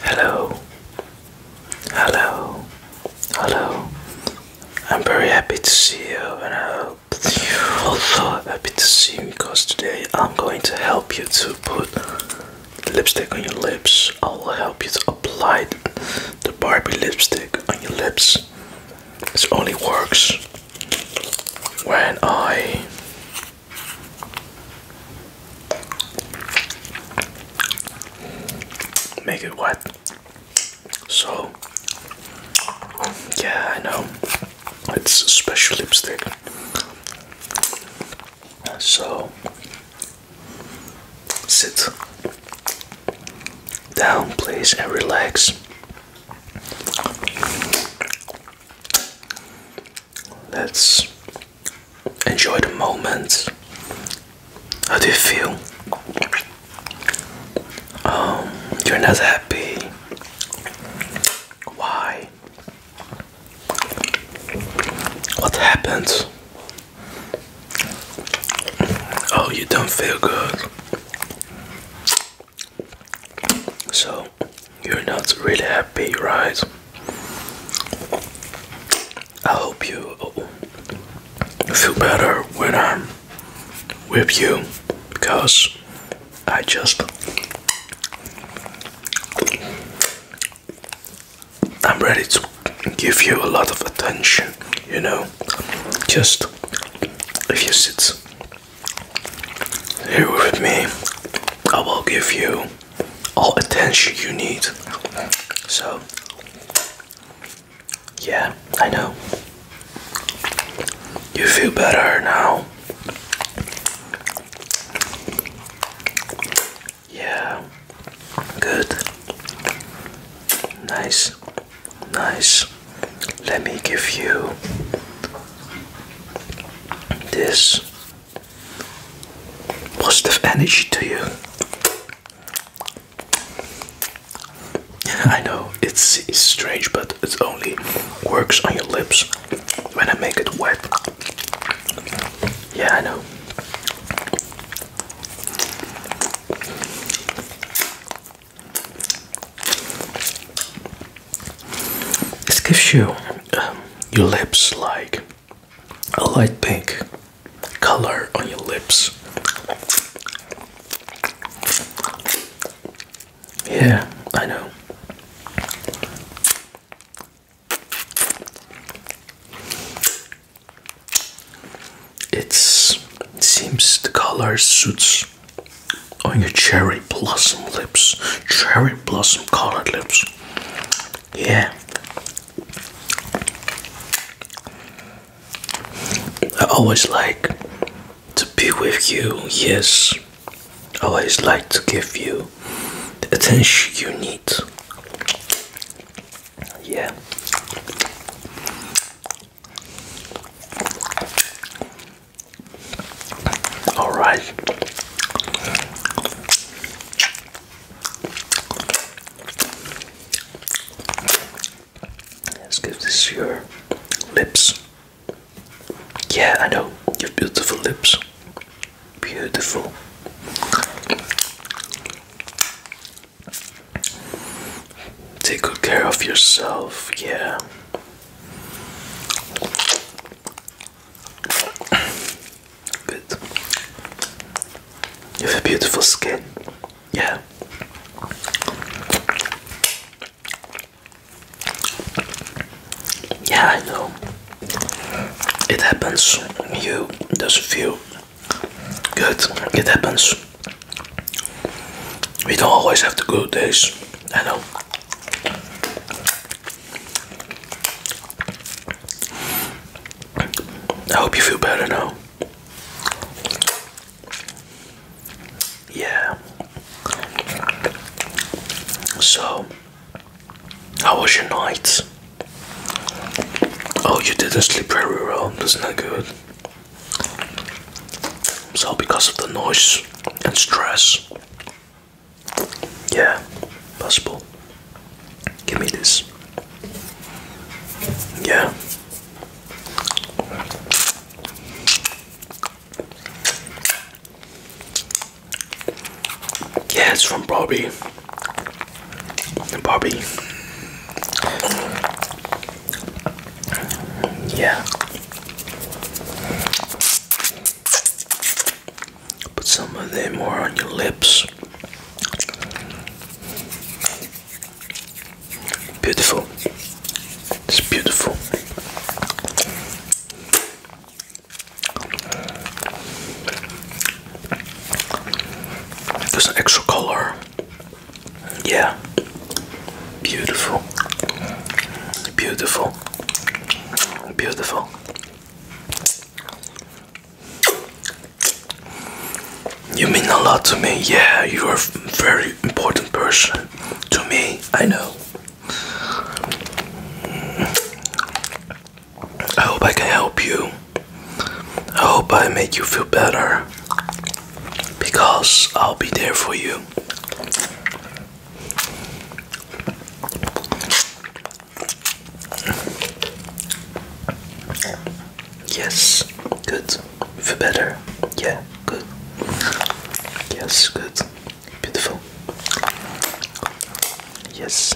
Hello, hello, hello. I'm very happy to see you, and I hope you're also happy to see me because today I'm going to help you to put lipstick on your lips. I will help you to apply the Barbie lipstick on your lips. This only works when I Make it wet. So, yeah, I know. It's a special lipstick. So, sit down, please, and relax. Let's enjoy the moment. How do you feel? Um, you're not happy. Why? What happened? Oh, you don't feel good. So, you're not really happy, right? I hope you feel better when I'm with you because I just I'm ready to give you a lot of attention, you know. Just if you sit here with me, I will give you all attention you need. So, yeah, I know. You feel better now. Yeah, good. Nice, nice. Let me give you this positive energy to you. I know it's, it's strange, but it only works on your lips when I make it wet. Yeah, I know. It gives you um, your lips like a light pink color on your lips. Yeah, I know. it seems the color suits on oh, your cherry blossom lips, cherry blossom colored lips. Yeah. I always like to be with you, yes. always like to give you the attention you need. Yeah. All right. Let's give this your lips. Yeah, I know your beautiful lips. Beautiful. Take good care of yourself, yeah. Good. You have a beautiful skin. Yeah. Yeah, I know. It happens. You doesn't feel good. It happens. We don't always have the good days, I know. I hope you feel better now. Yeah. So, how was your night? Oh, you did a sleep very well. That's not that good. So, because of the noise and stress, yeah, possible. Give me this. Yeah. Yeah, it's from Bobby. Bobby. Yeah. Put some of them more on your lips. Beautiful. It's beautiful. There's an extra color yeah. Beautiful. Beautiful. Beautiful. You mean a lot to me. Yeah, you are a very important person to me. I know. I hope I can help you. I hope I make you feel better because I'll be there for you. Yes, good. For better. Yeah, good. Yes, good. Beautiful. Yes.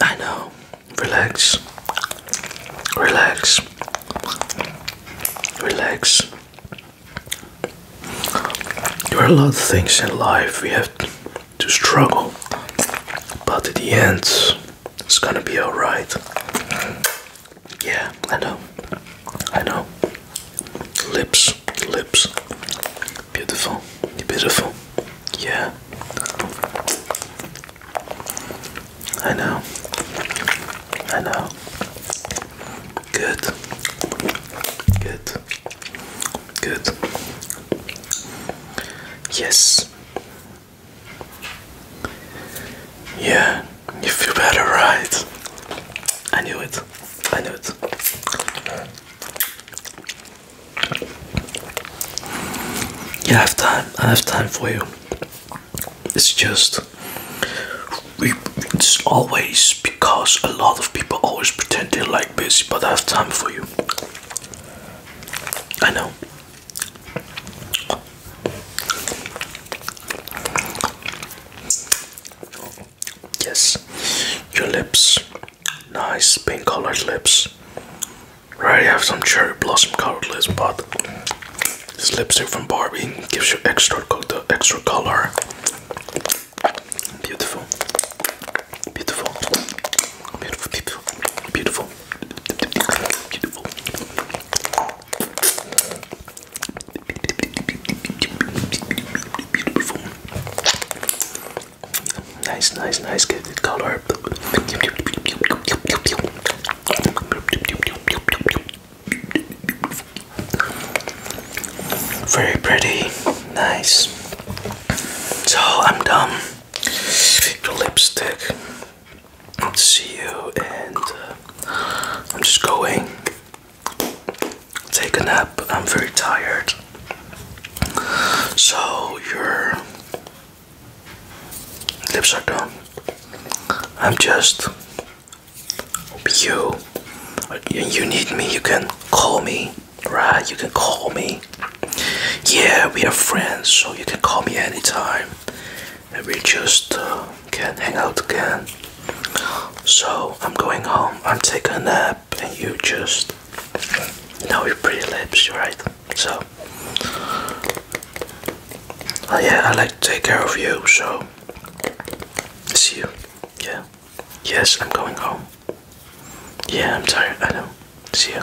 I know. Relax. Relax. Relax. There are a lot of things in life we have to struggle, but at the end, it's gonna be alright. Yeah, I know. I know. Lips lips, lips. Beautiful, beautiful. Yeah. I know. I know. Good. Good. Good. Yes. Yeah, you feel better, right? I knew it. I knew it. Yeah, I have time. I have time for you. It's just it's always because a lot of people always pretend they're like busy, but I have time for you. I know. Yes, your lips, nice pink colored lips. Right, you have some cherry blossom colored lips, but this lipstick from Barbie gives you extra the extra color. Beautiful, beautiful, beautiful, beautiful, beautiful, beautiful. Nice, nice, nice. Good, good color. Very pretty. Nice. So I'm done. The lipstick. See you, and uh, I'm just going take a nap. I'm very tired. So your lips are done. I'm just you. You need me. You can call me, right? You can call me. Yeah, we are friends, so you can call me anytime. And we just uh, can hang out again. So I'm going home, I'm taking a nap, and you just know are pretty lips, right? So, oh yeah, I like to take care of you, so see you. Yeah, yes, I'm going home. Yeah, I'm tired, I know. See you.